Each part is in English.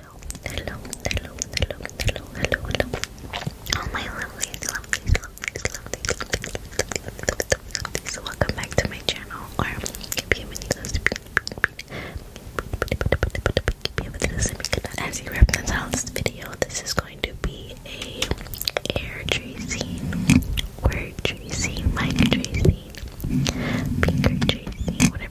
hello, hello, hello, hello, hello, hello, hello. All my lovelies, lovelies, lovelies, lovelies, lovelies, lovelies, lovelies. So welcome back to my channel, or bienvenidos, bienvenidos a mi canal. As you reference on this video, this is going to be a air tracing, word tracing, mic tracing, finger tracing, whatever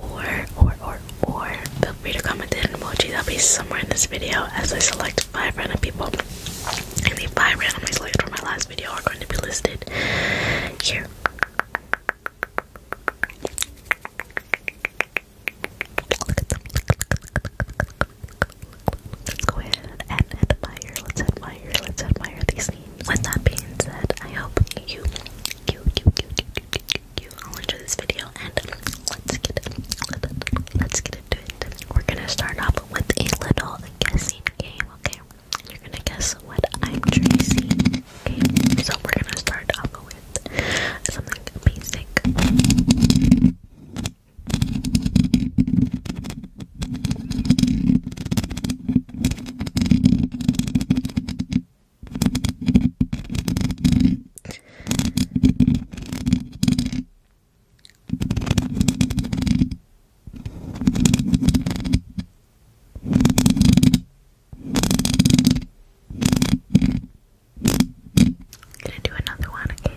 or, or, or, or, feel free to comment in emoji that'll be somewhere in this video as I select five random people. And the five random people selected from my last video are going to be listed here. Let's go ahead and admire, let's admire, let's admire these names. With that being said, I hope you cute, cute, cute, cute, cute, cute, cute. I'll enjoy this video and let's get Let's get into it. We're gonna start off with a little guessing game, okay? You're gonna guess what I'm tracing. Okay, so we're gonna start off with something basic. Okay, I'm gonna do another one, okay?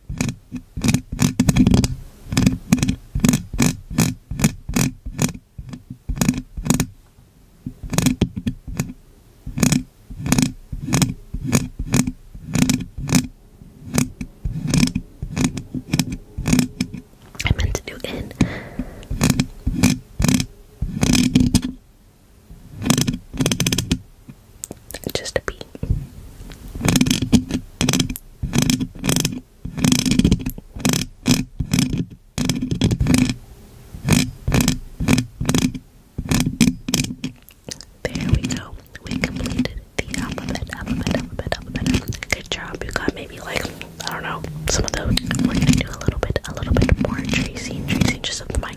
I meant to do in. Just a beat. There we go. We completed the alphabet, alphabet, alphabet, alphabet. Good job. You got maybe like, I don't know, some of those. We're gonna do a little bit, a little bit more tracing, tracing just of the mic.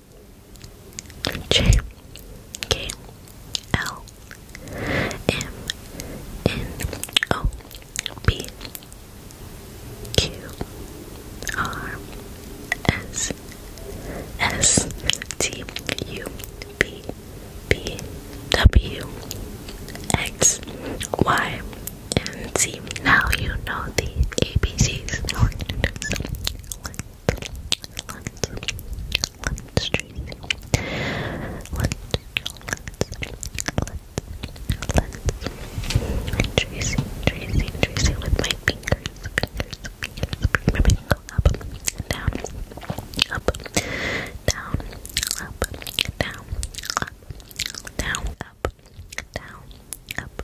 J K L M N O P Q R S S T U V B W X Y Now you know the ABCs let's Tracy. Let's, let's, let's, let's Tracy, Tracy, Tracy with my fingers, fingers, fingers, fingers. Go up, down, up, down, up, down, up, down, up, down, up,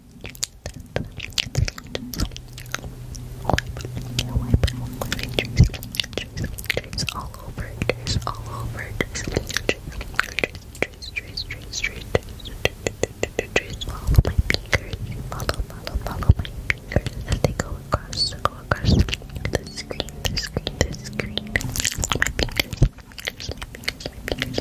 all over it, all over it, follow my fingers, follow, follow, follow my fingers as they go across, they go across the screen, the screen, the screen, my fingers, my fingers, my fingers,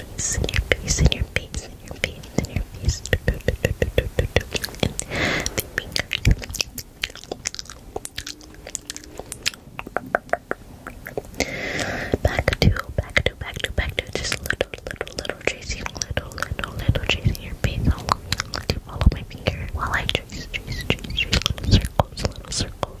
face, in your face, in your face, in your face, in your face. And the finger. Back to, back to, back to, back to. Just little, little, little tracing, little, little, little tracing your face. I'll let you follow my finger while I trace, trace, trace, trace little circles, little circles.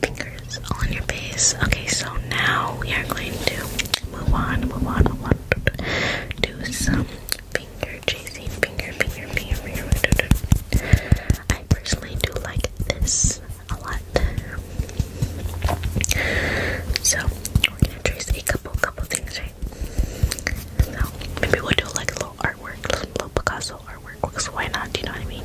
fingers on your face. Okay, so now we are going to move on, move on, move on. Do some finger chasing, finger, finger, finger, finger. I personally do like this a lot. So we're gonna trace a couple, couple things, right? So maybe we'll do like a little artwork, little Picasso artwork. why not? Do you know what I mean?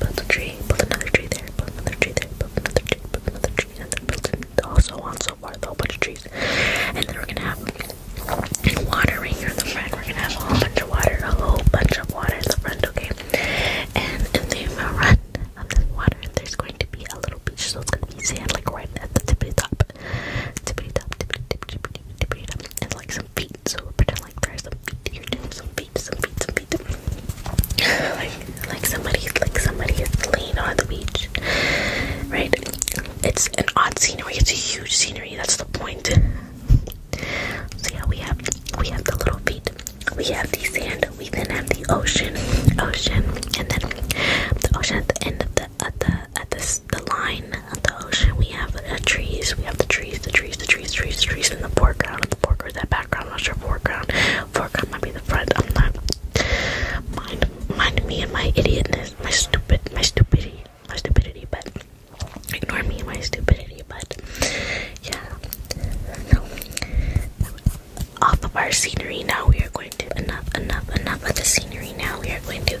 Build a tree, build another tree there, build another tree there, build another tree, build another tree, and then build it all so on so forth, a whole bunch of trees. And then we're gonna have watering in the front. We're gonna have a whole bunch of water, a whole bunch of water in the front, okay? And in the front of this water, there's going to be a little beach, so it's gonna be sand like right at the tippity top. Tippity top, tippity tippity tippity tippity top. And like feet, so pretend like there's some feet. You're doing some feet, some feet, some feet. like, somebody, like somebody is laying on the beach, right? It's an odd scenery. It's a huge scenery. That's the point. So yeah, we have we have the little feet. We have the sand. We then have the ocean, ocean, and then the ocean at the end of the at the at this the line the ocean, we have uh, trees. We have the trees, the trees, the trees, trees, trees in the foreground. The foreground, that background, I'm not sure foreground. Foreground might be the front. I'm not. Mind, mind me and my idiotness, my stupid, my stupidity, my stupidity. But ignore me and my stupidity. But yeah, no. Off of our scenery now, we are going to enough, enough, enough of the scenery now. We are going to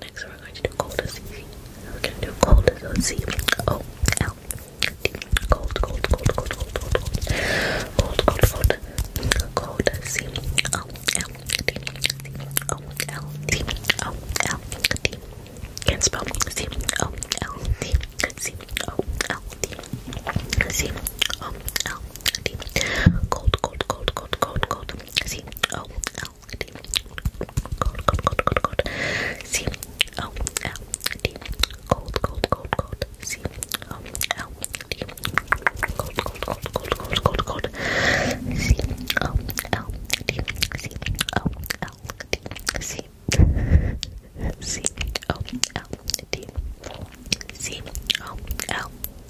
Next, we're going to do cold association. We're going to do cold association. O oh, L D. Cold, cold, cold, cold, cold, cold, cold, cold, cold, cold, cold, C O L D. O L D. O L D. Can't spell C O L D. C O L D. C O L D. Cold, cold, cold, cold, cold, cold. C O L D. Cold, cold, cold, cold, cold. C O L D. Cold, cold, cold, cold. C O L D. Cold, cold, cold, cold, cold, cold, cold. C O L D. C O L D. C C O L D. C O L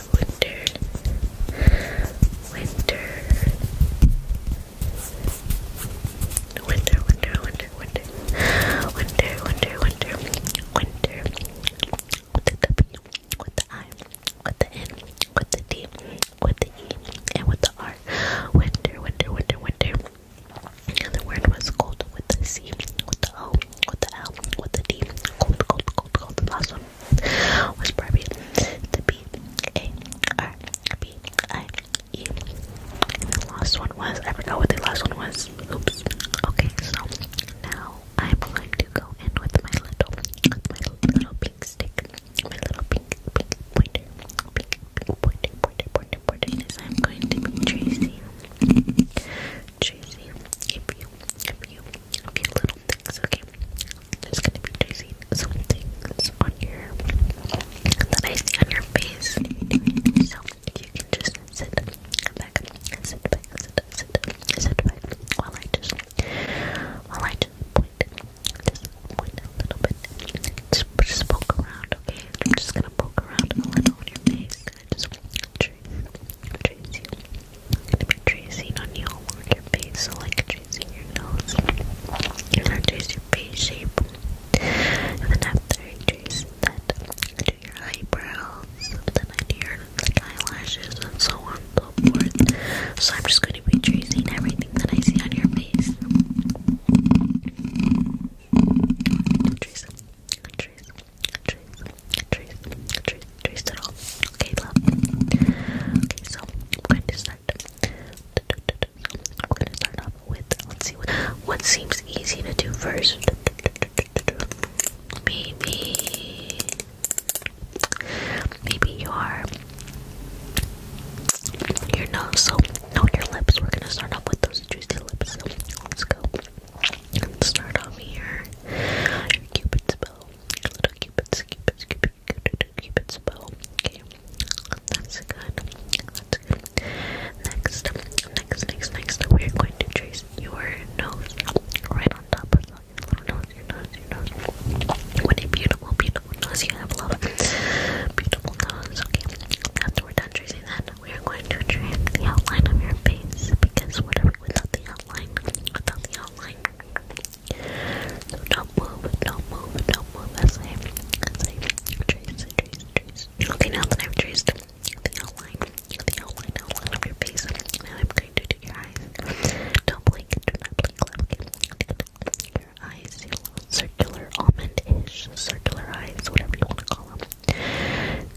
winter, winter, winter, winter, winter, winter, winter, winter, with the W, with the I, with the N, with the D, with the E, and with the R. Winter, winter, winter, winter. And word was cold with the C, with the O, with the L, with the D. Cold, cold, cold, cold. last one was Barbie. The B A R B I E. And the last one was I forgot what the last one was. Oops. Okay, so now I'm going to go in with my little, my little pink stick, my little pink, pink pointer, pink, pink pointer, pointer, pointer, pointer. Is I'm going to be tracing, Jay-Z. If you, if you, if little things, okay? There's gonna be Jay-Z on your, that I see on your face. So, you can just sit back, sit back, sit sit, sit, back while I just, while I just point, just point a little bit. just poke around, okay? I'm just gonna poke around a little on your face. Just, tracing. I'm gonna be tracing on your face, so like tracing your nose. You're going your face shape. And then after I that, I do your eyebrows, then I do your like, eyelashes, and so on so forth. So I'm just gonna be tracing everything that I see on your face. Trace, trace, trees, trees, trees, trees all. Okay, love. Okay, so I'm going to start. I'm gonna start off with let's see what what seems easy to do first. Maybe maybe your your nose, so no your lips. We're gonna start off with those juicy lips. let's go. Let's start off here. cupid's bow. little cupid's, cupid's, cupid's, cupid's, bow. Okay, that's good. Next, next, next, next, we're going to trace your nose right on top What a beautiful, beautiful nose you have, love. Beautiful nose, okay. After we're done tracing that, we are going to trace the outline of your face because what are we without the the outline. So don't move, don't move, don't move. As I, as I trace, trace, trace. Okay, now that I've traced the outline, the outline, outline of your face, now I'm going to do your eyes. Don't blink, do not blink, left. Your eyes, circular, almond-ish, circular eyes, whatever you want to call them.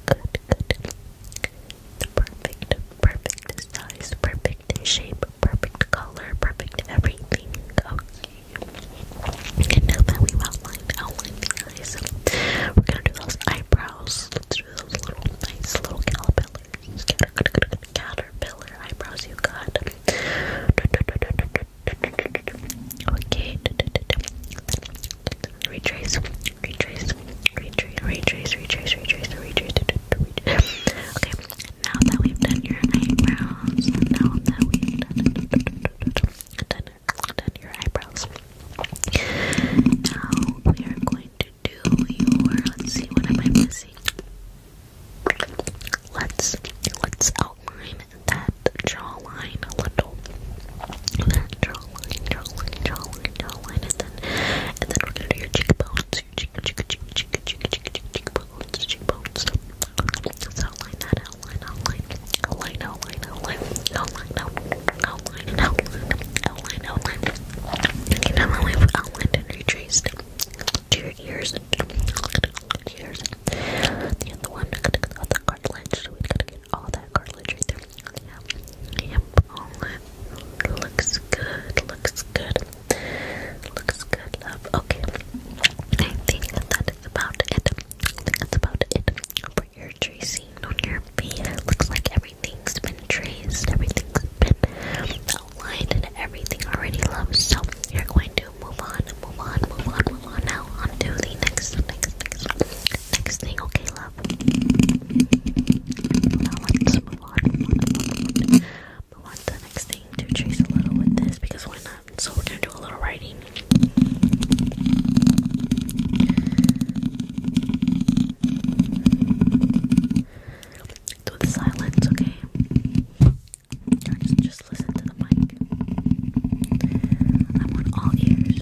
Good, good. The perfect, perfect size, perfect shape, perfect color, perfect everything. Okay. And now that we outlined, outlined the eyes, we're gonna do those eyebrows. do those little nice little caterpillars. Caterpillar eyebrows you got. Okay retrace, retrace, retrace, retrace, retrace, retrace, retrace, retrace. Okay, now that we've done your eyebrows, now that we've done, done, done your eyebrows, now we are going to do your. Let's see, what am I missing? Let's let's outline that jawline a little. That jawline, and then and then we're gonna do your cheekbones, your cheek, cheek, cheek, cheek, cheek, cheek, cheek, cheekbones, cheekbones. Just outline that, outline, outline, outline, outline, outline, outline, outline, outline, outline, outline, outline. You can tell how we've outlined and retraced to your ears, ears. The other one, the cartilage. So we gotta all that cartilage right there. Yep, yep, all that looks good, looks good, looks good, love. Okay, I think that is about it. I think that's about it for your tracing on your feet. It looks like everything's been traced, everything's been outlined, and everything already, love. So you're going to move on, move on, move on, move on now onto the next, next, next next thing, okay, love? Now let's move on, move on, to next thing to trace a little with this because why not? So we're gonna do a little writing. Do the silence, okay? just listen to the mic. I want all ears.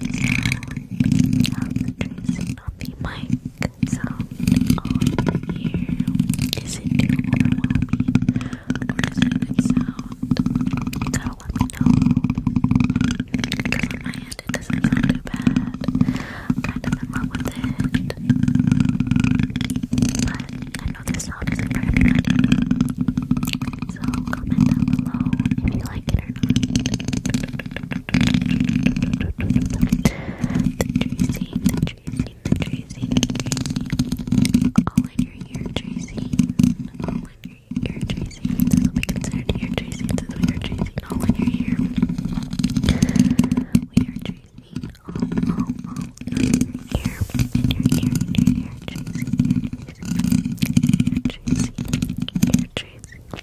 the tracing of the mic sound on here. Is it too overwhelming? Or does it good sound? that let me know. Because my end doesn't sound too bad. I'm kind of with it. But I know this sound isn't very pretty. So comment down below if you like it Tracy, the Tracy, the Tracy, the Tracy. All in your ear, Tracy. All in your ear, Tracy. This will be considered ear, Tracy. This we are Tracy. All in your ear. We are Tracy. All, all, all in your ear. In your ear, in your ear, Tracy. Tracy, Tracy, Tracy.